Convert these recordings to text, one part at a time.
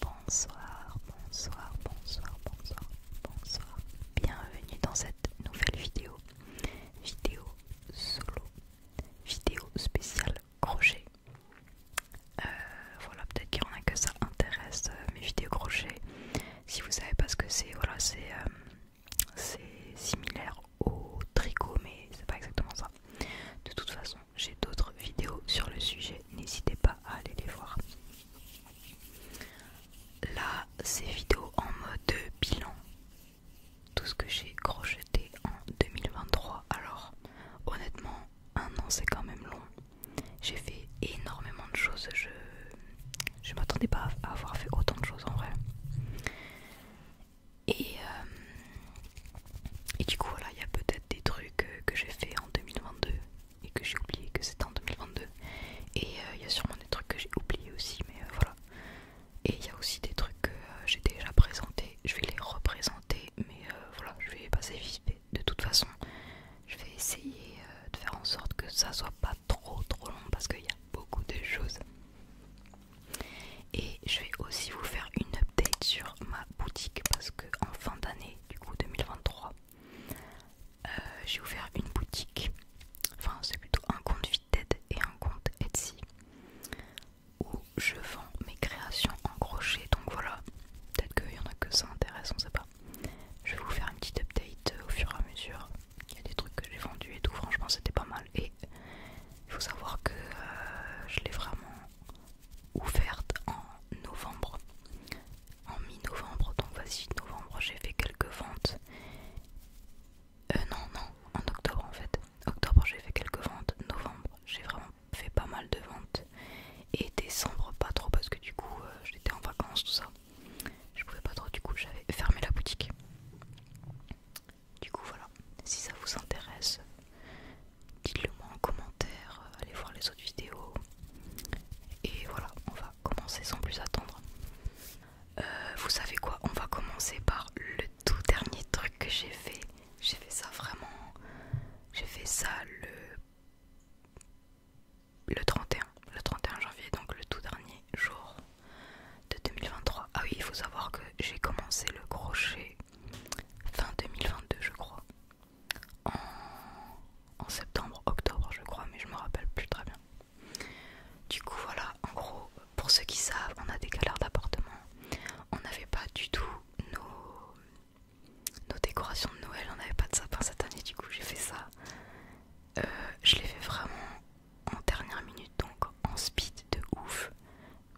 Bonsoir, bonsoir, bonsoir, bonsoir, bonsoir. Bienvenue dans cette nouvelle vidéo. Vidéo solo. Vidéo spéciale crochet. Euh, voilà, peut-être qu'il y en a que ça intéresse, euh, mes vidéos crochet. Si vous savez pas ce que c'est, voilà, c'est euh, similaire au tricot, mais c'est pas exactement ça. De toute façon, j'ai d'autres vidéos sur le sujet, n'hésitez pas à aller les voir. Là, c'est vidéo en mode bilan. Tout ce que j'ai crocheté en 2023. Alors, honnêtement, un an c'est quand même long. J'ai fait énormément de choses. Je, je m'attendais pas à avoir fait autant de choses en vrai. Et, euh, et du coup, voilà, il y a peut-être des trucs euh, que j'ai fait en 2022 et que j'ai oublié que c'était en 2022. Et euh, il y a sûrement des trucs que j'ai oublié aussi, mais voilà. Et il y a aussi des trucs que j'ai déjà présentés, je vais les représenter, mais voilà, je vais passer vite De toute façon, je vais essayer de faire en sorte que ça soit pas trop trop long parce qu'il y a beaucoup de choses et je vais aussi vous faire une update sur ma boutique parce que en fin d'année, du coup 2023, euh, j'ai ouvert une boutique, enfin c'est plutôt un compte Vinted et un compte Etsy où je vends mes créations en crochet. Donc voilà, peut-être qu'il y en a que ça intéresse, on sait pas. Je vais vous faire une petite update au fur et à mesure. Il y a des trucs que j'ai vendus et tout, franchement c'était pas mal. Et il faut savoir que euh, je l'ai vraiment ouverte en novembre, en mi-novembre. Donc, vas-y, novembre, j'ai fait quelques ventes. Euh, non, non, en octobre en fait. Octobre, j'ai fait quelques ventes. Novembre, j'ai vraiment fait pas mal de ventes. Et décembre, pas trop parce que du coup, euh, j'étais en vacances, tout ça. Je pouvais pas trop, du coup, j'avais fermé la boutique. Du coup voilà, si ça vous intéresse, dites-le moi en commentaire, euh, allez voir les autres vidéos. Et voilà, on va commencer sans plus attendre. Euh, vous savez quoi, on va commencer par le tout dernier truc que j'ai fait. J'ai fait ça vraiment... J'ai fait ça le... le 31. Le 31 janvier, donc le tout dernier jour de 2023. Ah oui, il faut savoir que j'ai commencé le crochet fin 2022, je crois. En, septembre, octobre, je crois, mais je me rappelle plus très bien. Du coup, voilà, en gros, pour ceux qui savent, on a des galères d'appartement. On n'avait pas du tout nos, décorations de Noël, on n'avait pas de sapin cette année, du coup, j'ai fait ça. Euh, je l'ai fait vraiment en dernière minute, donc en speed de ouf.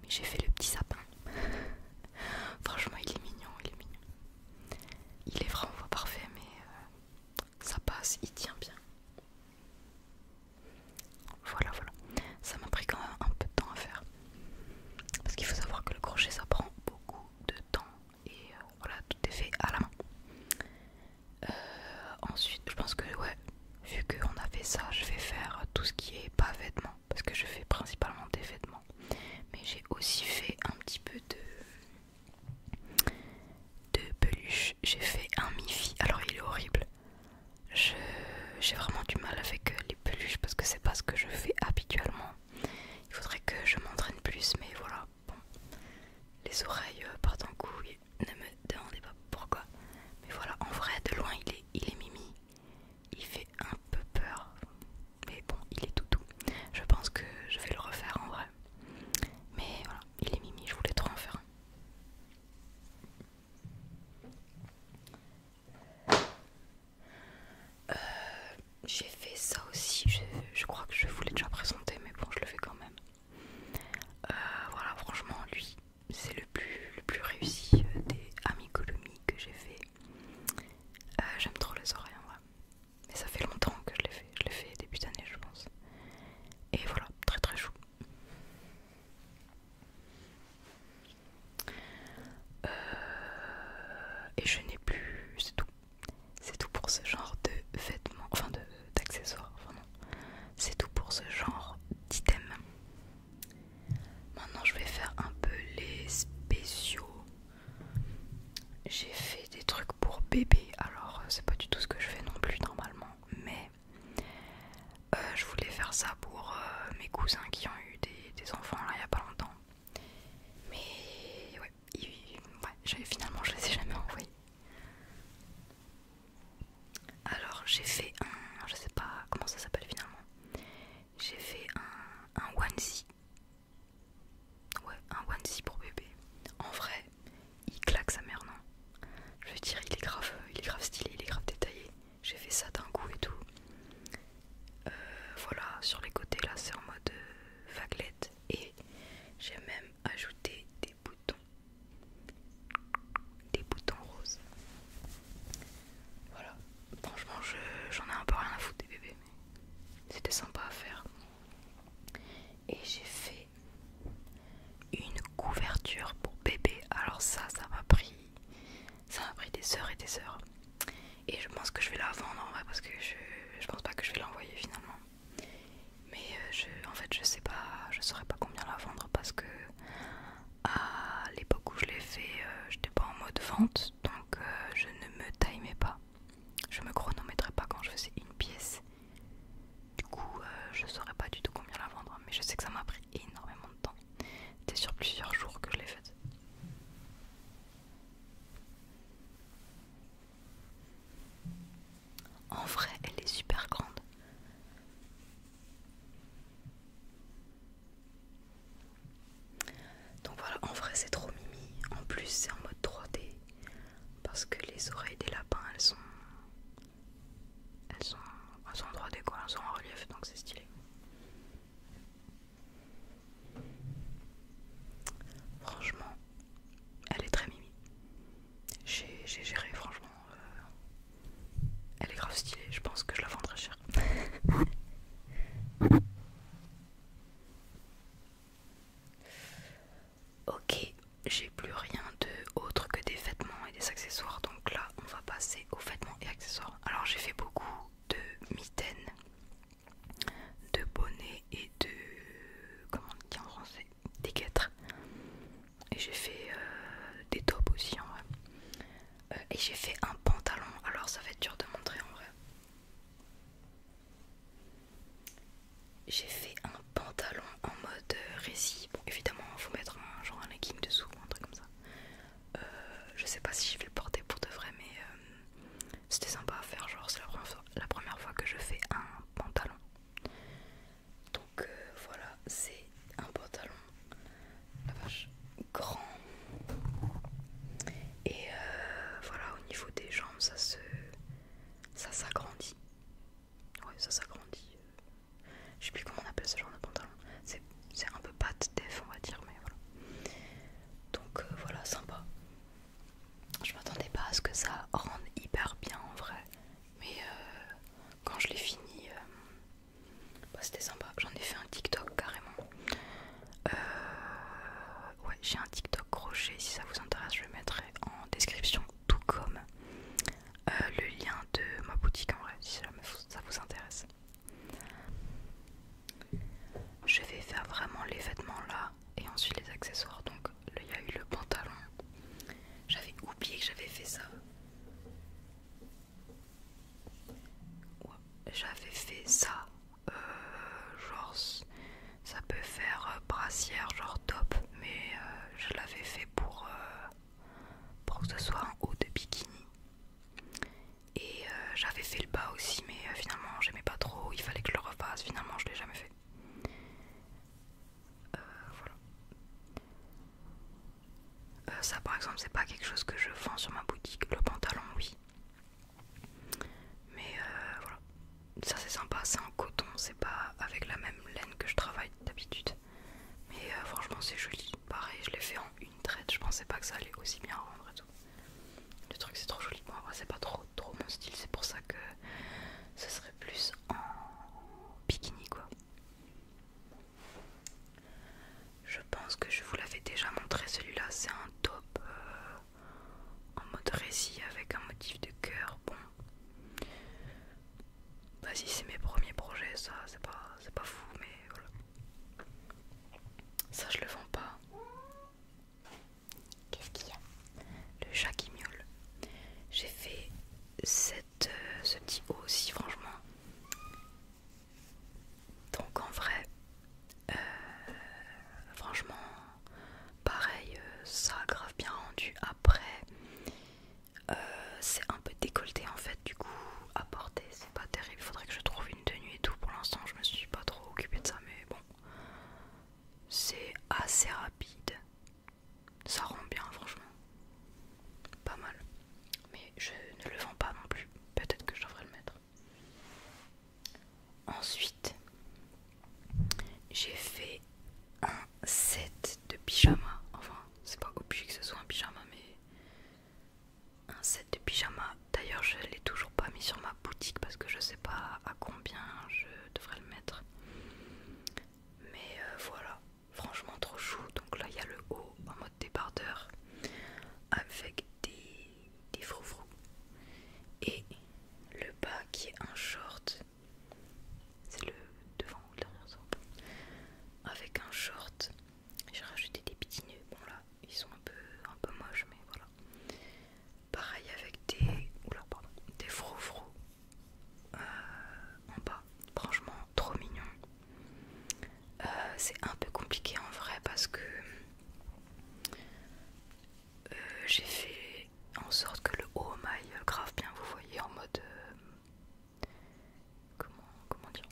Mais j'ai fait le petit sapin. Franchement, il est mignon, il est mignon. Il est vraiment pas parfait, mais euh, ça passe, il tient bien. Voilà, voilà. Ça m'a pris quand même un peu de temps à faire. Parce qu'il faut savoir que le crochet, ça prend beaucoup de temps. Et euh, voilà, tout est fait à la main. Euh, ensuite, je pense que ouais, vu qu'on a fait ça, je vais faire tout ce qui est pas vêtements, parce que je fais principalement des vêtements. Mais j'ai aussi fait un petit peu de, de peluche. J'ai fait un Mifi. Alors il est horrible. J'ai vraiment du mal avec les peluches parce que c'est pas ce que je fais habituellement. Il faudrait que je m'entraîne plus, mais voilà. Bon. Les oreilles euh, partent en couille ne me demandez pas pourquoi. Mais voilà, en vrai, de loin, il est, il est mimi. Il fait un peu peur. Mais bon, il est tout doux. Je pense que je vais le refaire en vrai. Mais voilà, il est mimi, je voulais trop en faire un. Euh, j'ai fait ça aussi, je, crois que je vous l'ai déjà présenté, mais bon, je le fais quand même. Euh, voilà, franchement, lui, c'est le plus, le plus réussi euh, des amicolomies que j'ai fait. Euh, j'aime trop les oreilles en vrai. Mais ça fait longtemps que je l'ai fait. Je l'ai fait début d'année, je pense. Et voilà, très très chou. Euh, et je n'ai plus. C'est tout. C'est tout pour ce genre de vêtements. Enfin, d'accessoires. Enfin, c'est tout pour ce genre d'item. Maintenant, je vais faire un peu les spéciaux. J'ai fait des trucs pour bébé, alors euh, c'est pas du tout ce que je fais non plus normalement, mais euh, je voulais faire ça pour euh, mes cousins qui ont eu des, enfants il y a pas longtemps. Mais ouais, finalement je les ai jamais envoyés. Alors j'ai fait un, je sais pas comment ça s'appelle finalement, j'ai fait un, un onesie, ouais un onesie pour bébé. En vrai, il claque sa mère non. Je veux dire, il est grave, il est grave stylé, il est grave détaillé. J'ai fait ça d'un coup et tout. Euh, voilà, sur les côtés là, c'est en mode euh, vaguelette et j'ai même ajouté des des boutons, des boutons roses. Voilà, franchement j'en ai un peu rien à foutre des bébés, mais c'était sympa à faire. Et j'ai fait une couverture pour bébé. Alors ça, ça m'a pris, ça m'a pris des heures et des heures. Et je pense que je vais la vendre en vrai parce que je, je pense pas que je vais l'envoyer finalement. Mais euh, je, en fait, je sais pas, je saurais pas combien la vendre parce que à l'époque où je l'ai fait, euh, j'étais pas en mode vente, donc euh, je ne me timais pas. Je me chronométrais pas quand je faisais une pièce. Du coup, euh, je saurais pas du tout combien la vendre, mais je sais que ça m'a pris énormément de temps. C'était sur plusieurs jours que je l'ai faite. En vrai, elle est super grande. Donc voilà, en vrai c'est trop mimi. En plus c'est en mode 3D. Parce que les oreilles des lapins, elles sont... Elles sont, en 3D quoi, elles sont en relief, donc c'est stylé. Franchement, elle est très mimi. J'ai géré franchement. Euh, elle est grave stylée, je pense que je la vendrai cher. ok, j'ai plus rien d'autre que des vêtements et des accessoires, donc là on va passer aux vêtements et accessoires. Alors j'ai fait beaucoup de mitaines, de bonnets et de comment on dit en français, des guêtres et j'ai fait euh, des tops aussi en vrai. Euh, et j'ai fait un pantalon, alors ça va être dur de montrer en vrai. J'ai fait un pantalon en mode euh, récit. Bon, évidemment, faut mettre un, genre un legging dessous ou un truc comme ça. je sais pas si je vais le porter pour de vrai, mais c'était sympa à faire. Genre, c'est la première fois que je fais un pantalon. Donc euh, voilà, c'est un pantalon la vache, grand. Et euh, voilà, au niveau des jambes, ça se ça s'agrandit. Ouais, ça s'agrandit. Je sais plus comment on appelle ce genre de pantalon. C'est un peu pâte def, on va dire, mais voilà. Donc euh, voilà, sympa. Je m'attendais pas à ce que ça rende hyper bien en vrai. Mais euh, quand je l'ai fini, euh, bah, c'était sympa. J'en ai fait un TikTok carrément. Euh, ouais, j'ai un TikTok crochet. Si ça vous intéresse, je le mettrai en description, tout comme euh, le lien de ma boutique en vrai, si ça vous intéresse. Je vais faire vraiment les vêtements là et ensuite les accessoires. Donc il y a eu le pantalon. J'avais oublié que j'avais fait ça. j'avais fait ça. Euh, genre, ça peut faire euh, brassière, genre top, mais euh, je l'avais fait pour, que ce soit en haut de bikini. Et j'avais fait le bas aussi, mais finalement, j'aimais pas trop. Il fallait que je le refasse. Finalement, je l'ai jamais fait. Euh, euh, ça par exemple c'est pas quelque chose que je vends sur ma boutique, le pantalon oui. Mais euh, voilà, ça c'est sympa, c'est en coton, c'est pas avec la même laine que je travaille d'habitude. Mais franchement c'est joli, pareil je l'ai fait en une traite, je pensais pas que ça allait aussi bien rendre et tout. Le truc c'est trop joli, bon moi. c'est pas trop, trop mon style, c'est pour ça que euh, ce serait plus en bikini quoi. Je pense que je vous l'avais déjà montré celui-là, c'est un top euh, en mode récit avec un motif de cœur. Bon, vas-y, c'est mes premiers projets, ça c'est pas, pas fou, mais voilà. Ça, je le vends pas. Qu'est-ce le chat qui miaule. J'ai fait euh, ce petit haut aussi, franchement. Donc en vrai, euh, franchement, pareil, euh, ça grave bien rendu. Après, c'est un peu décolleté en fait, du coup, à porter, c'est pas terrible. Faudrait que je trouve une tenue et tout. Pour l'instant, je me suis pas trop occupée de ça, mais bon, c'est assez rapide. Ça rend bien, franchement. Pas mal. Mais je ne le vends pas non plus. Peut-être que je devrais le mettre. Ensuite, j'ai fait un set de pyjama. Enfin, c'est pas obligé que ce soit un pyjama, mais un set de pyjama. D'ailleurs, je l'ai toujours pas mis sur ma boutique parce que je sais pas à combien je devrais le mettre mais euh, voilà franchement trop chou donc là il y a le haut en mode débardeur avec des, des froufrous et le bas qui est un short c'est le devant ou le dernier ça avec un short j'ai rajouté des petits nœuds bon là ils sont un peu un peu moches mais voilà pareil avec des froufrous. pardon des euh, en bas. Franchement, trop mignon. Euh, c'est un peu compliqué en vrai parce que euh, j'ai fait en sorte que le haut maille grave bien, vous voyez, en mode. comment, comment dire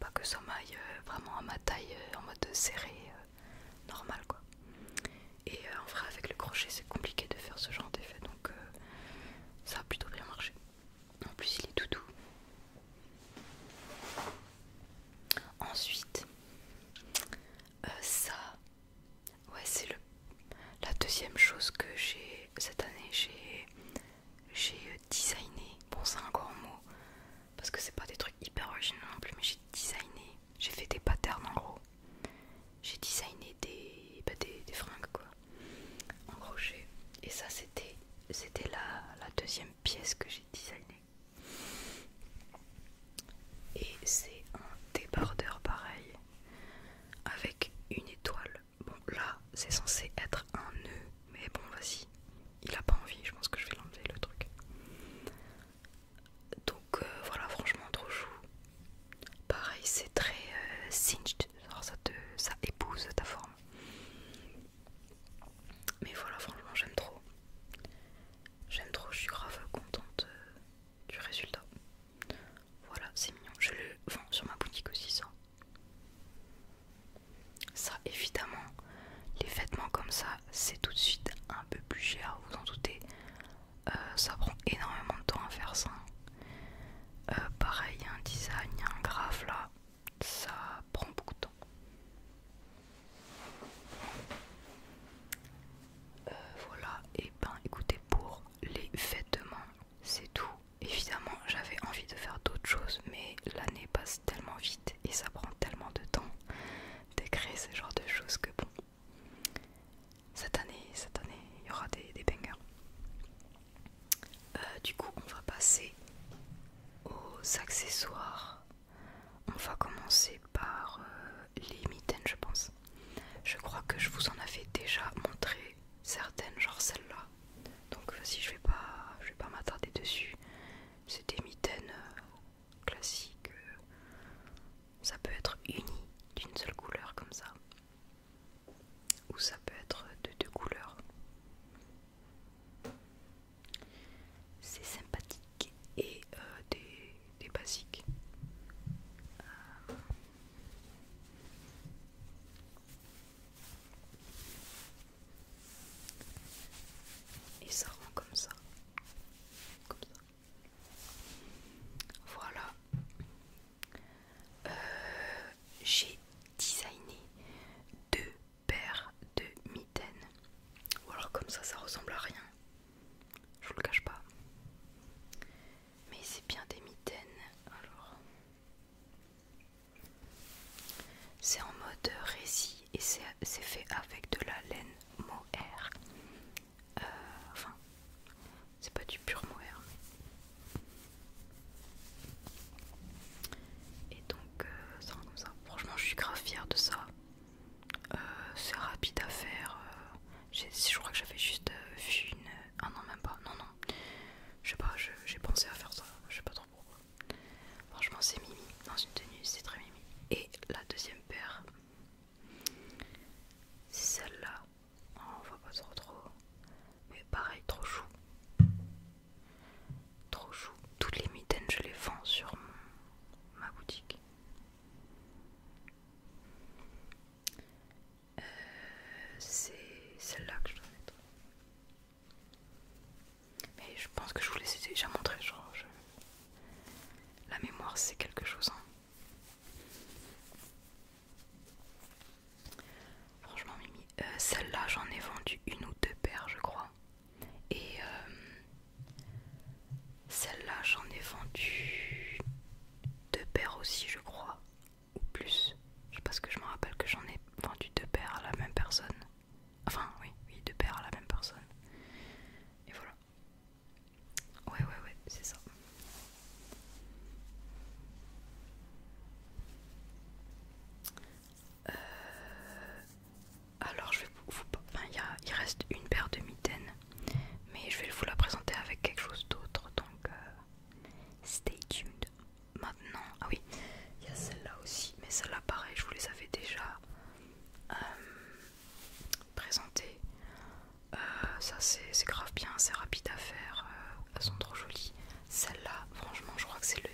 Pas que ça maille vraiment à ma taille, en mode serré, normal quoi. Et euh, en vrai, avec le crochet, c'est compliqué de faire ce genre d'effet, donc euh, ça a plutôt bien marché. En plus, il est tout doux. Ensuite, euh, ça, ouais, c'est la deuxième chose que j'ai cette année. J'ai designé, bon, c'est un grand mot parce que c'est pas des trucs hyper originaux non plus, mais j'ai designé, j'ai fait des patterns en gros j'ai designé bah, des, des, fringues quoi en crochet et ça c'était c'était la, deuxième pièce que j'ai designée et c'est un débordeur pareil avec une étoile bon là c'est censé être un nœud mais bon vas-y il a pas envie je pense que je vais l'enlever le truc donc euh, voilà, franchement, trop chou. Pareil, c'est très euh, singed ça, te, ça épouse ta forme. Mais voilà, franchement, j'aime trop. J'aime trop, je suis grave contente euh, du résultat. Voilà, c'est mignon. Je le vends sur ma boutique aussi, ça. Ça, évidemment, les vêtements comme ça, c'est tout de suite un peu plus cher, vous en doutez. Euh, ça prend énormément de temps à faire ça. Euh, pareil, un design, un graphe là. Ça prend beaucoup de temps. Euh, voilà, et eh ben écoutez, pour les vêtements, c'est tout. Évidemment, j'avais envie de faire d'autres choses, mais l'année passe tellement vite et ça prend tellement de temps d'écrire ce genre de choses que bon, cette année, cette année, il y aura des, bangers. Euh, du coup, on va passer aux accessoires. On va commencer par euh, les mitaines, je pense. Je crois que je vous en avais déjà montré certaines, genre celles là Donc, vas je vais pas, je vais pas m'attarder dessus. C'est des mitaines euh, classique. Euh, ça peut être uni d'une seule couleur comme ça. Ou ça peut être de deux couleurs. C'est sympathique et euh, des, basiques. Euh. Et ça rend comme ça. Comme ça. Voilà. Euh, j'ai designé deux paires de mitaines. Ou alors comme ça, ça ressemble à rien. Je vous le cache pas. Mais c'est bien des mitaines. Alors. C'est en mode récit et c'est fait avec de la laine mohair. Euh, enfin, c'est pas du pur mohair. Et donc, euh, ça rend comme ça. Franchement, je suis grave fière de ça. Euh, c'est rapide à faire. je crois que j'avais juste vu une. Ah non, même pas. Non, non. Je sais pas, j'ai pensé à faire ça. Je sais pas trop pourquoi. Franchement, c'est mimi. Dans une tenue, c'est très mimi. Et la deuxième paire, celle-là. on voit pas trop trop. Mais pareil, trop chou. Trop chou. Toutes les mitaines, je les vends sur ma boutique. Euh, c'est celle-là que je dois mettre. Mais je pense que je vous l'ai déjà montré, genre La mémoire c'est quelque chose, hein. Franchement, Mimi, euh, celle-là, j'en ai vendu une ou deux paires, je crois. Et euh, celle-là, j'en ai vendu deux paires aussi, je crois, ou plus. Je sais pas ce que je me rappelle que j'en ai vendu deux paires à la même personne. Enfin, oui, oui, deux paires à la même personne. Et voilà. Ouais, ouais, ouais, c'est ça. Euh, alors, je vais vous. Enfin, il, a... il reste une paire de mitaines, mais je vais vous la présenter avec quelque chose d'autre, donc euh, stay tuned. Maintenant, ah oui, il y a celle-là aussi, mais celle-là, pareil, je vous les avais déjà. Euh, présenté. Euh, ça c'est grave bien, c'est rapide à faire, elles euh, sont trop jolies. Celle-là, franchement, je crois que c'est le,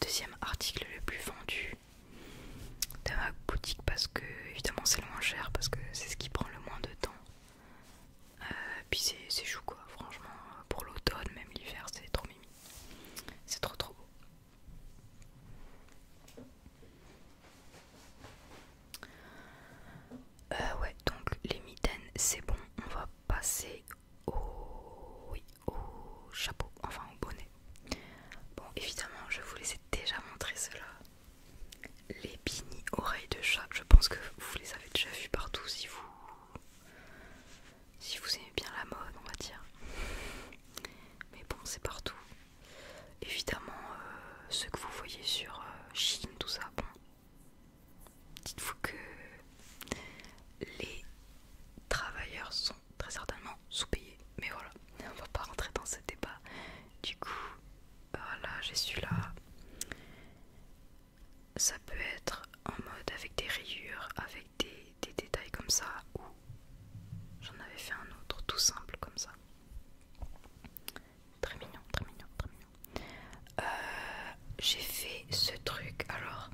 deuxième article le plus vendu de ma boutique parce que évidemment c'est le moins cher parce que c'est ce qui prend le moins de temps. Euh, puis c'est chou quoi, franchement, pour l'automne, même l'hiver, c'est trop mimi. C'est trop trop beau. Euh, ouais, donc les mitaines, c'est bon. On va passer au, chapeau, enfin au bonnet. Bon, évidemment, je vous les ai déjà montré cela. Les bini oreilles de chat. Je pense que vous les avez déjà vus partout si vous, si vous aimez bien la mode, on va dire. Mais bon, c'est partout. Évidemment, euh, ce que vous voyez sur euh, Chine, tout ça, dites-vous que les travailleurs sont très certainement sous-payés. Mais voilà, on va pas rentrer dans ce débat. Du coup, voilà, j'ai celui-là. Ça peut être en mode avec des rayures, avec des, des détails comme ça, ou J'en avais fait un autre tout simple comme ça. Très mignon, très mignon, très mignon. Euh, j'ai fait ce truc, alors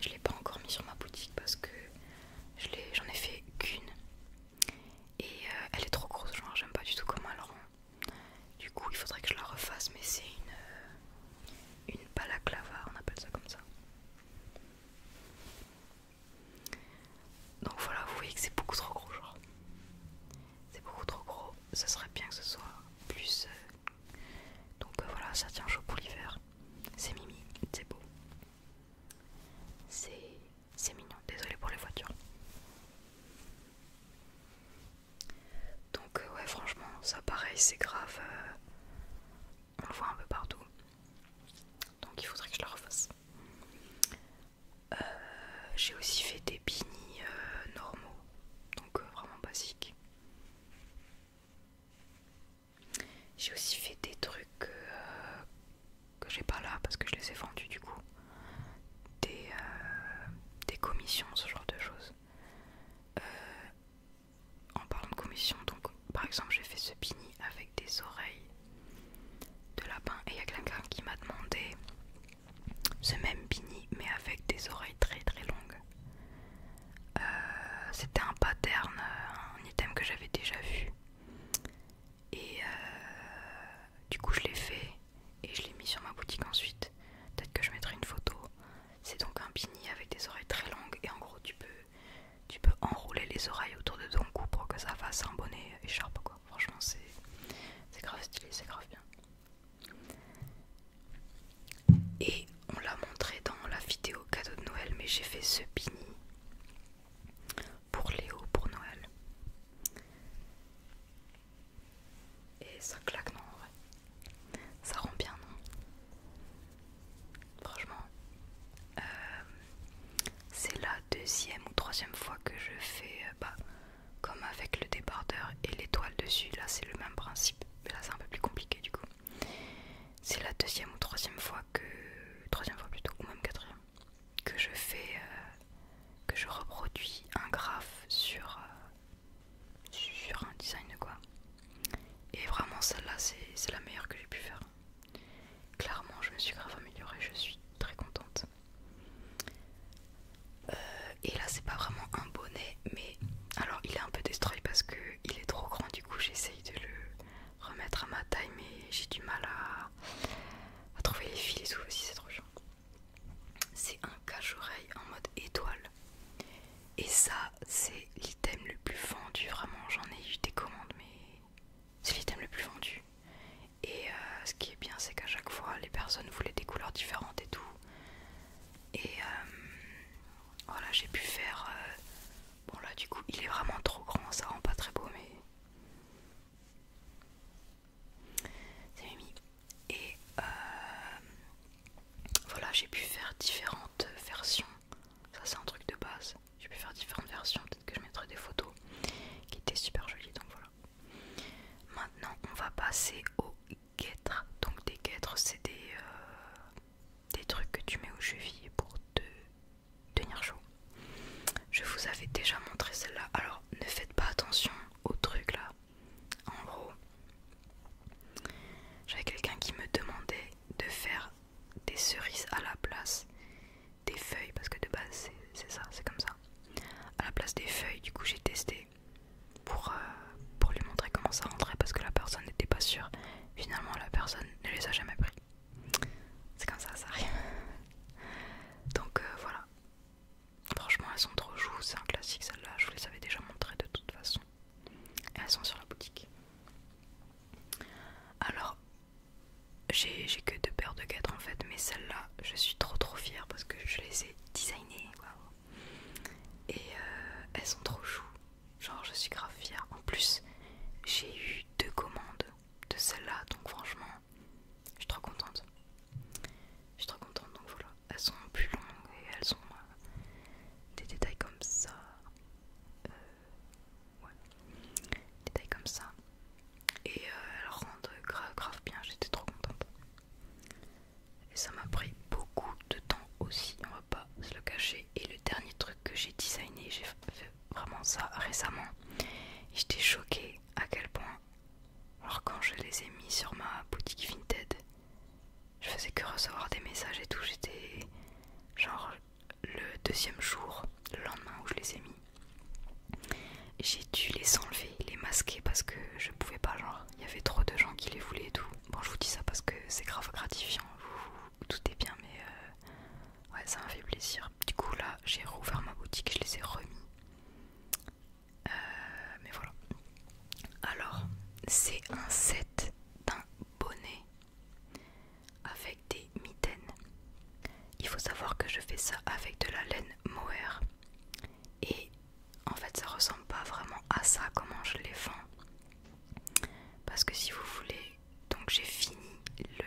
je l'ai pas encore mis sur ma boutique parce que j'en ai, fait qu'une. Et euh, elle est trop grosse, genre j'aime pas du tout comment elle rend. Du coup il faudrait que je la refasse, mais c'est une, euh, une on appelle ça comme ça. Donc voilà, vous voyez que c'est beaucoup trop gros, genre. C'est beaucoup trop gros. Ce serait bien que ce soit plus. Euh, donc euh, voilà, ça tient chaud pour l'hiver. C'est mimi, c'est beau. C'est mignon. Désolé pour les voitures. Donc euh, ouais, franchement, ça pareil, c'est grave. On le voit un peu partout. Donc il faudrait que je la refasse. Euh, j'ai aussi fait des beanies euh, normaux, donc euh, vraiment basiques. J'ai aussi fait des trucs que j'ai pas là parce que je les ai vendus du coup. Des, des commissions, ce genre de choses. en parlant de commissions, donc par exemple, j'ai fait ce bini avec des oreilles de lapin et il y a quelqu'un qui m'a demandé ce même bini mais avec des oreilles très très longues. Euh, c'était un pattern, euh, un item que j'avais déjà vu. Et euh, du coup, je l'ai fait et je l'ai mis sur ma boutique ensuite. Peut-être que je mettrai une photo. C'est donc un bini avec des oreilles très longues et en gros, tu peux tu peux enrouler les oreilles autour de ton cou pour que ça fasse un bonnet écharpe quoi. Franchement c'est grave stylé, c'est grave bien. Et on l'a montré dans la vidéo cadeau de Noël, mais j'ai fait ce beanie pour Léo pour Noël. Et ça claque non en vrai. Ça rend bien non Franchement, euh, c'est la deuxième ou troisième fois que je fais euh, bah, comme avec le débardeur et l'étoile dessus. Là, c'est le même principe, mais là, c'est un peu plus compliqué du coup. C'est la deuxième ou troisième fois que, troisième fois plutôt, ou même quatrième, que je fais, euh, que je reproduis un graphe sur, un design de quoi. Et vraiment, celle-là, c'est la meilleure que j'ai pu faire. Clairement, je me suis grave améliorée, je suis très contente. Euh, et là, c'est pas vraiment un bonnet, mais alors il est un peu destroy parce que il est trop grand, du coup, j'essaye de le remettre à ma taille, mais j'ai du mal à... trouver les fils et tout aussi, c'est trop chiant. C'est un cache-oreille en mode étoile. Et ça, c'est l'item le plus vendu, vraiment. J'en ai eu des commandes, mais c'est l'item le plus vendu. Et euh, ce qui est bien, c'est qu'à chaque fois, les personnes voulaient des couleurs différentes et tout. Et euh, voilà, j'ai pu faire. Euh, bon, là, du coup, il est vraiment trop grand, ça rend pas très beau, mais. C'est Mimi. Et voilà, j'ai pu faire différentes versions ça c'est un truc de base. J'ai pu faire différentes versions, peut-être que je mettrai des photos qui étaient super jolies. Donc voilà. Maintenant on va passer aux guêtres. Donc des guêtres c'est des, euh, des trucs que tu mets aux chevilles pour te tenir chaud. Je vous avais déjà montré celle-là. Alors ne faites pas attention aux trucs là. En gros, j'avais quelqu'un qui me demandait de faire des cerises à la place des feuilles, parce que de base c'est ça, c'est comme ça. À la place des feuilles, du coup j'ai testé pour, euh, pour lui montrer comment ça rentrait, parce que la personne n'était pas sûre. Finalement, la personne ne les a jamais pris. C'est comme ça, ça rien Donc euh, voilà. Franchement, elles sont trop joues, c'est un classique celle-là, je vous les avais déjà montrées de toute façon. elles sont sur la boutique. Alors, j'ai que deux paires de quatre en fait, mais celle-là, je suis trop trop fière parce que je les ai designées. Et euh, elles sont trop chou. Genre, je suis grave fière. En plus, j'ai eu deux commandes de celle-là, donc franchement, je suis trop contente. Je suis trop contente, donc voilà. Elles sont plus longues et elles ont euh, des détails comme ça. Euh, ouais, comme ça. Et euh, elles rendent grave, bien, j'étais trop contente. Et ça m'a pris beaucoup de temps aussi, on va pas se le cacher. Et le dernier truc que j'ai designé, j'ai fait vraiment ça récemment. J'étais choquée à quel point, alors quand je les ai mis sur ma boutique Vinted, je faisais que recevoir des messages et tout, j'étais genre le deuxième jour, le lendemain où je les ai mis, j'ai dû les enlever, les masquer parce que je pouvais pas, genre, il y avait trop de gens qui les voulaient et tout. Bon, je vous dis ça parce que c'est grave gratifiant, vous, tout est bien, mais euh, ouais, ça m'a fait plaisir. Du coup, là, j'ai rouvert ma boutique, je les ai remis. Euh, mais voilà. Alors, c'est un set d'un bonnet avec des mitaines. Il faut savoir que je fais ça avec de la laine mohair. Et en fait, ça ressemble pas vraiment à ça, comment je les vends. Parce que si vous voulez, donc j'ai fini le.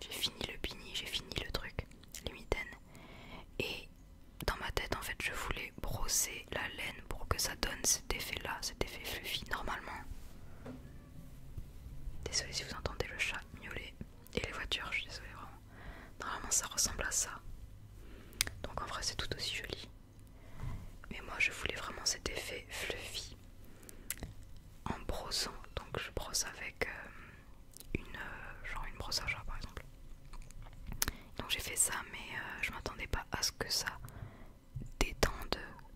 J'ai fini le bini, j'ai fini le truc, les mitaines. Et dans ma tête, en fait, je voulais brosser la laine pour que ça donne cet effet-là, cet effet fluffy. Normalement, Désolée si vous entendez le chat miauler et les voitures, je suis désolée vraiment. Normalement ça ressemble à ça. Donc en vrai c'est tout aussi joli. Mais moi je voulais vraiment cet effet fluffy en brossant. Donc je brosse avec euh, une euh, genre une brosse à par exemple. Donc j'ai fait ça mais euh, je m'attendais pas à ce que ça temps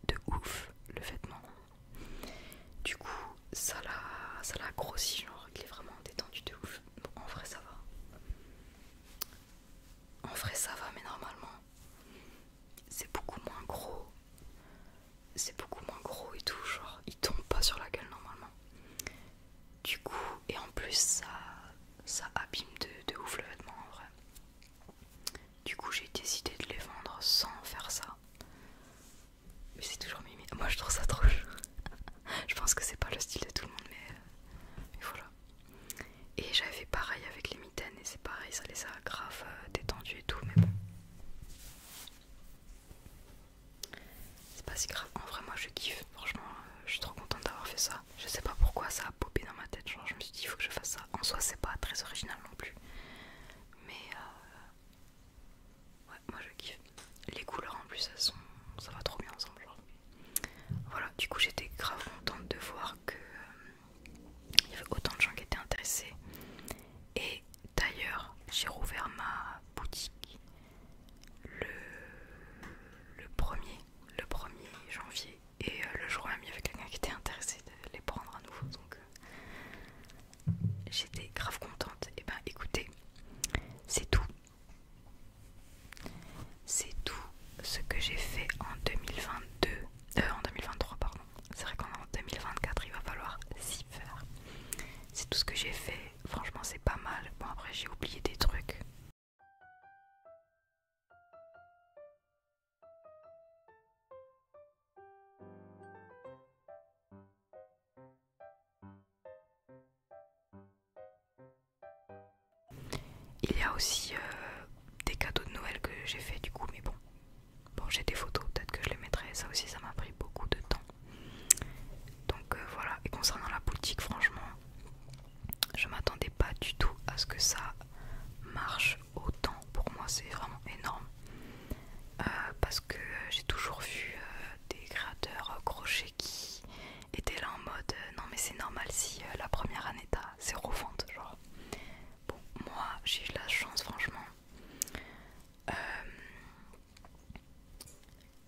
de ouf le vêtement. Du coup, ça l'a ça l'a grossi, genre il est vraiment détendu de ouf. en vrai, ça va. En vrai, ça va, mais normalement, c'est beaucoup moins gros. C'est beaucoup moins gros et tout, genre il tombe pas sur la gueule normalement. Du coup, et en plus, ça, ça abîme de, de ouf le vêtement en vrai. Du coup, j'ai décidé de les vendre sans faire ça. Mais c'est toujours mimi. Moi, je trouve ça trop chaud. je pense que c'est pas le style de tout le monde, mais, euh, voilà. Et j'avais fait pareil avec les mitaines, et c'est pareil, ça les a grave euh, détendu et tout, mais bon. C'est pas si grave. En vrai, moi, je kiffe. Franchement, euh, je suis trop contente d'avoir fait ça. Je sais pas pourquoi ça a popé dans ma tête. Genre, je me suis dit, il faut que je fasse ça. En soi, c'est pas très original non plus. Mais euh, ouais, moi je kiffe. Les couleurs en plus, ça va trop bien ensemble. Voilà, du coup, j'étais grave contente de voir que euh, il y avait autant de gens qui étaient intéressés. Et d'ailleurs, j'ai rouvert ma boutique le, le, er le 1er janvier et euh, le jour même, il y avait quelqu'un qui était intéressé de les prendre à nouveau. Donc euh, j'étais grave contente. Et ben écoutez, c'est tout. C'est tout ce que j'ai fait en 2022. Euh, en 2023, pardon. C'est vrai qu'en 2024, il va falloir s'y faire. C'est tout ce que j'ai fait. Franchement, c'est pas mal. Bon, après, j'ai oublié des trucs. Il y a aussi euh, des cadeaux de Noël que j'ai fait du coup, mais bon, bon j'ai des photos, peut-être que je les mettrai. Ça aussi, ça m'a pris beaucoup de temps. Donc euh, voilà. Et concernant la boutique, franchement, je m'attendais pas du tout à ce que ça marche autant. Pour moi, c'est vraiment énorme euh, parce que j'ai toujours vu euh, des créateurs crochets qui étaient là en mode euh, non, mais c'est normal si la première année c'est c'est Genre, bon, moi j'ai eu la chance, franchement.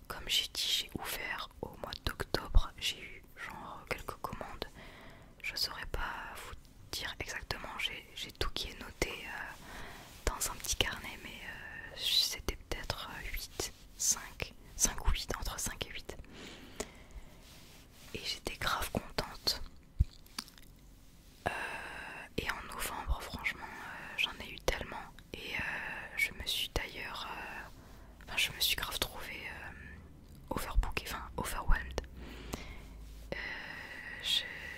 comme j'ai dit, j'ai ouvert au mois d'octobre, j'ai eu genre quelques commandes je saurais pas vous dire exactement, j'ai tout qui est noté euh, dans un petit carnet, mais euh, c'était peut-être 8, 5, 5 ou 8, entre 5 et 8. Et j'étais grave contente. Euh, et en novembre, franchement, j'en ai eu tellement. Et je me suis d'ailleurs. enfin, je me suis grave trouvée et enfin overwhelmed. Euh,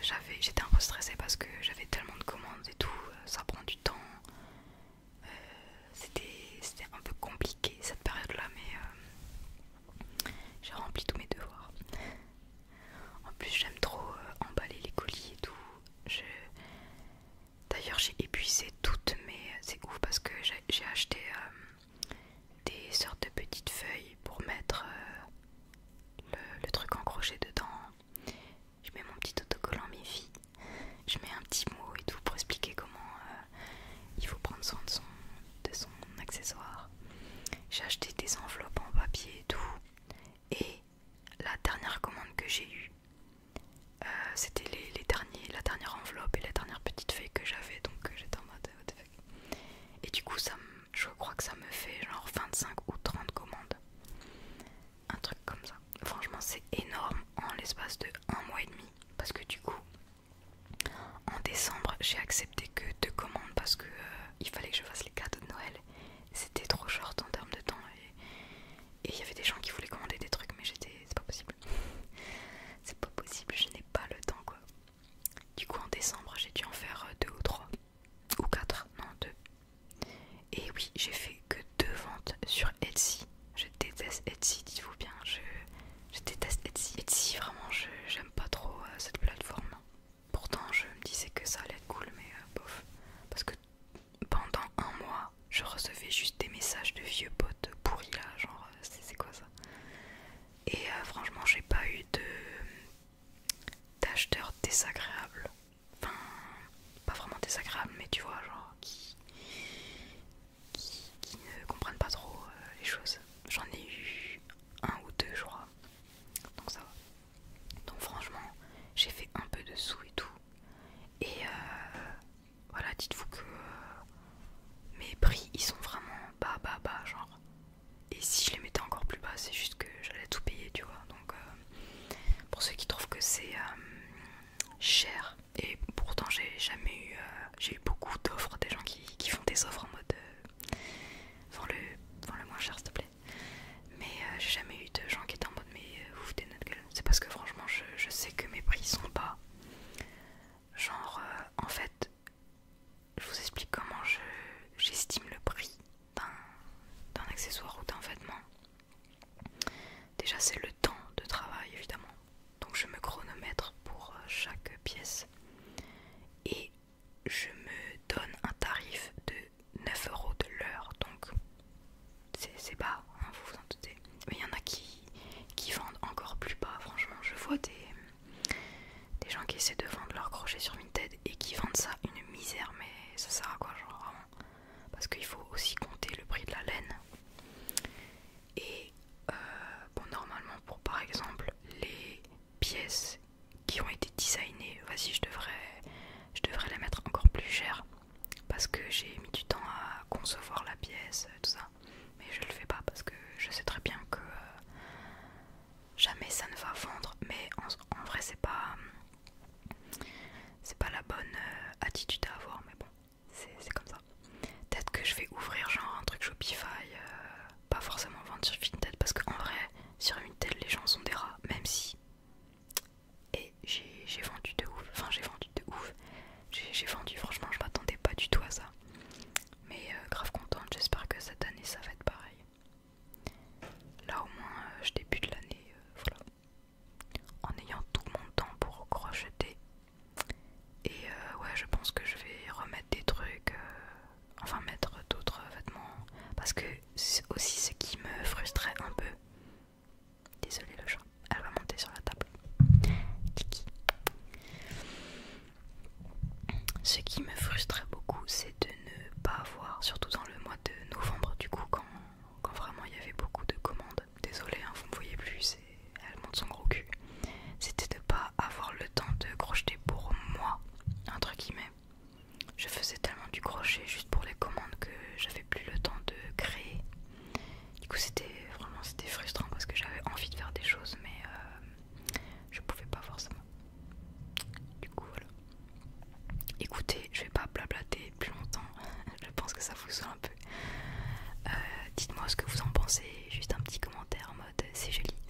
j'avais, J'étais un peu stressée parce que j'avais tellement de commandes et tout, euh, ça prend du temps. Euh, c'était un peu compliqué cette période-là, mais j'ai rempli tous mes devoirs. En plus, j'aime trop emballer les colis et tout. Je... D'ailleurs, j'ai épuisé toutes mes. C'est ouf parce que j'ai acheté des sortes de petites feuilles pour mettre euh, le, truc encroché dedans. Je mets mon petit autocollant mes Je mets un petit mot et tout pour expliquer comment euh, il faut prendre soin de son, de son accessoire. J'ai acheté des enveloppes en papier et tout. Et la dernière commande que j'ai eue, euh, c'était les derniers, la dernière enveloppe et la dernière petite feuille que j'avais donc euh, j'étais en mode what Et du coup ça je crois que ça me fait genre 25 ou 30 commandes. Un truc comme ça. Franchement c'est énorme en l'espace de un mois et demi. Parce que du coup en décembre j'ai accepté que deux commandes parce que euh, il fallait que je fasse les cadeaux de Noël. C'était trop short en termes de temps et il y avait des gens qui voulaient commander des trucs mais j'étais c'est pas possible. C'est pas possible, je n'ai pas le temps quoi. Du coup en décembre j'ai dû en faire euh, deux ou trois. Ou quatre, non deux. Et oui, j'ai fait que deux ventes sur Etsy. Je déteste Etsy, dites-vous bien, je, déteste Etsy. Etsy vraiment je j'aime pas trop euh, cette plateforme. Pourtant je me disais que ça allait être cool mais euh, bof. Parce que pendant un mois, je recevais juste des messages de vieux potes pourris là, genre c'est quoi ça Et euh, franchement j'ai pas eu de d'acheteurs désagréables. Enfin pas vraiment désagréables mais tu vois genre qui, ne comprennent pas trop euh, les choses. J'en ai eu un ou deux je crois. Donc ça va. Donc franchement j'ai fait un peu de sous et tout. Et euh, voilà, dites-vous que euh, mes prix ils sont vraiment bas, bas, bas, genre. Et si je les mettais encore plus bas, c'est juste que j'allais tout payer, tu vois. Donc, euh, pour ceux qui trouvent que c'est euh, cher, et pourtant j'ai jamais eu, j'ai beaucoup d'offres, des gens qui, font des offres en mode le, le moins cher, s'il te plaît. Mais j'ai jamais eu de gens qui étaient en mode mais vous foutez notre gueule. C'est parce que franchement, je, je sais que mes prix sont bas. Genre, euh, en fait, je vous explique comment j'estime le prix d'un accessoire ou d'un vêtement. Déjà, c'est le temps de travail, évidemment. Donc, je me chronomètre pour euh, chaque pièce. Et je me donne un tarif de 9 euros de l'heure. Donc, c'est bas, hein, vous vous en doutez. Mais il y en a qui qui, vendent encore plus bas. Franchement, je vois des, gens qui essaient de vendre leur crochet sur une tête et qui vendent ça une misère, mais ça sert à quoi, genre vraiment Parce qu'il faut aussi compter le prix de la laine. Et euh, bon, normalement, pour par exemple les pièces qui ont été designées, vas-y, je devrais, je devrais les mettre encore plus cher parce que j'ai mis du temps à concevoir la pièce, tout ça. Mais je le fais pas parce que je sais très bien que euh, jamais ça ne va vendre. Mais en, vrai, c'est pas, c'est pas la bonne euh, attitude à avoir. Mais bon, c'est comme ça. Peut-être que je vais ouvrir genre un truc Shopify, euh, pas forcément vendre sur Fintech parce qu'en vrai, sur telle, les gens sont des rats, même si. Et j'ai vendu de ouf, enfin j'ai vendu de ouf. J'ai vendu, franchement, je m'attendais pas du tout à ça. Mais euh, grave contente, j'espère que cette année ça va être pareil. Là au moins, euh, je débute l'année, euh, voilà. En ayant tout mon temps pour crocheter. Et ouais, je pense que je vais remettre des trucs, enfin mettre d'autres vêtements. Parce que aussi ce qui me frustrait un peu, Désolée le chat, elle va monter sur la table. Ce qui me frustrait beaucoup, c'est de ne pas avoir, surtout dans le mois de novembre, du coup, quand, vraiment il y avait beaucoup de commandes. Désolée, hein, vous me voyez plus, elle monte son gros cul. C'était de pas avoir le temps de crocheter pour moi, entre guillemets. Je faisais tellement du crochet juste pour les commandes que j'avais plus le temps de créer. Du coup, c'était vraiment c'était frustrant parce que j'avais envie de faire des choses, mais euh, je pouvais pas forcément. Du coup, voilà. Écoutez, je vais pas blablater plus longtemps. je pense que ça vous un peu. Euh, dites-moi ce que vous en pensez. Juste un petit commentaire en mode euh, c'est joli.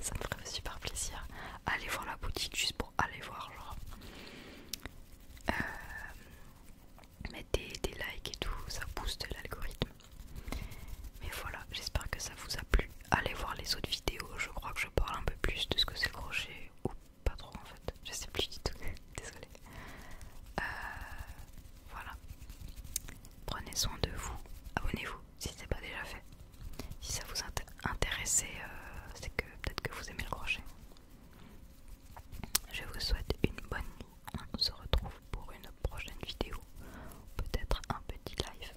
Ça, me ferait super plaisir. Allez voir la boutique juste pour aller voir. Genre. Mettez des, likes et tout, ça booste l'algorithme. Mais voilà, j'espère que ça vous a plu. Allez voir les autres vidéos, je crois que je parle un peu plus de ce que c'est le crochet, ou pas trop en fait, je sais plus du tout, désolée. Euh, voilà, prenez soin de vous, abonnez-vous si ce n'est pas déjà fait. Si ça vous a intéressé, euh, c'est que peut-être que vous aimez le crochet. Je vous souhaite une bonne nuit. On se retrouve pour une prochaine vidéo, peut-être un petit live.